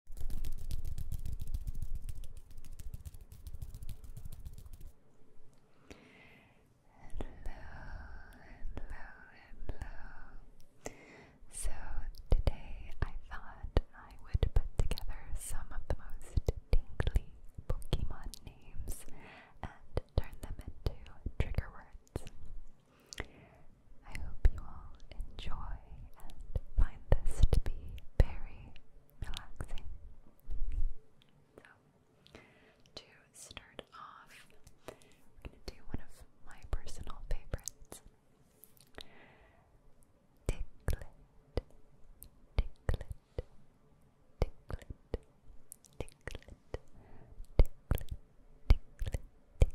hello. So today I thought I would put together some of the most tingly Pokemon names and turn them into trigger words. I hope you all enjoy and find this to be very relaxing. So, to start off, we're going to do one of my personal favorites. Ticklet, ticklet, ticklet, ticklet, ticklet, ticklet, ticklet,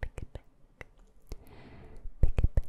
pick it back, pick it back,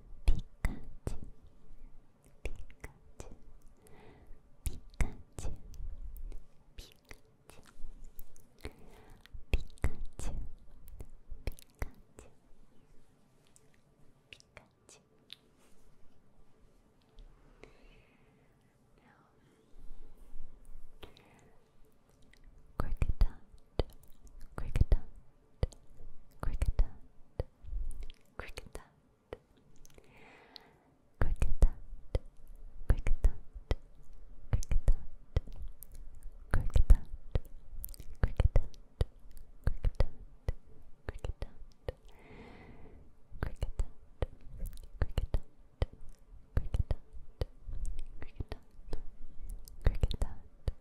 Pikachu, Pikachu, Pikachu, Pikachu, Pikachu, Pikachu, Pikachu. Now, Cricket dot, cricket dot, cricket dot, cricket dot, cricket dot, cricket dot, cricket dot, cricket dot, cricket dot, cricket dot, cricket dot, cricket dot, cricket dot. Cricket dot, cricket dot, cricket dot,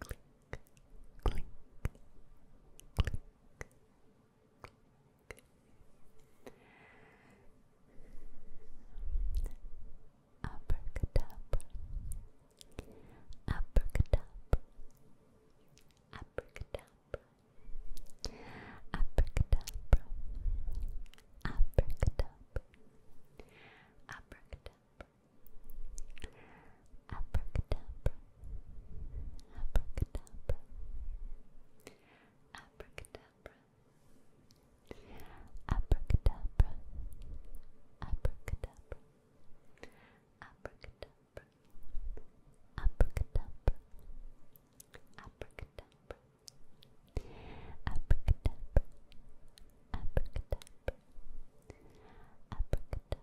click, click, Abracadabra, abracadabra, abracadabra, abracadabra, abracadabra, abracadabra, Abracadabra. Abracadabra. Abracadabra. Abracadabra. Abracadabra. Abracadabra. Abracadabra. Abracadabra. Abracadabra. Abracadabra. Abracadabra.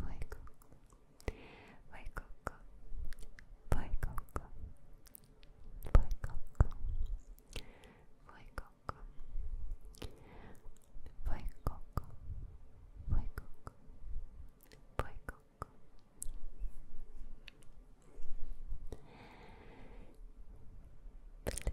Vai Coco, vai Coco, vai Coco, vai Coco, vai Coco, vai Coco, vai Coco, vai Coco. Pileto, pileto,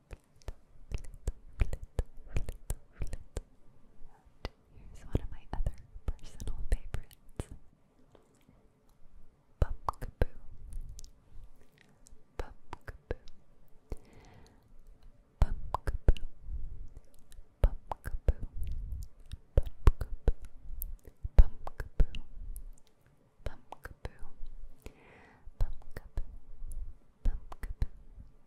And here's one of my other personal favorites. Pumpkaboo. Pumpkaboo. Pumpkaboo. Pumpkaboo. Pumpkaboo. Pumpkaboo. Pumpkaboo. Pumpkaboo. Pumpkaboo. Pumpkaboo.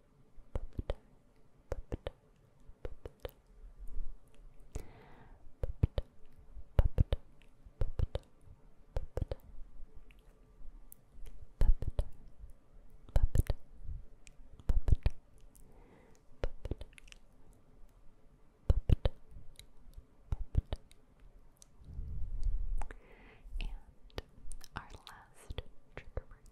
And our last trigger word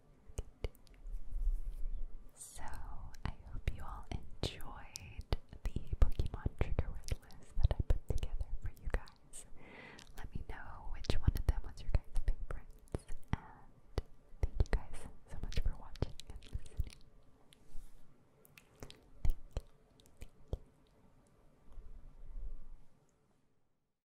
So, I hope you all enjoyed the Pokemon trigger word list that I put together for you guys. Let me know which one of them was your guys' favorites, and thank you guys so much for watching and listening.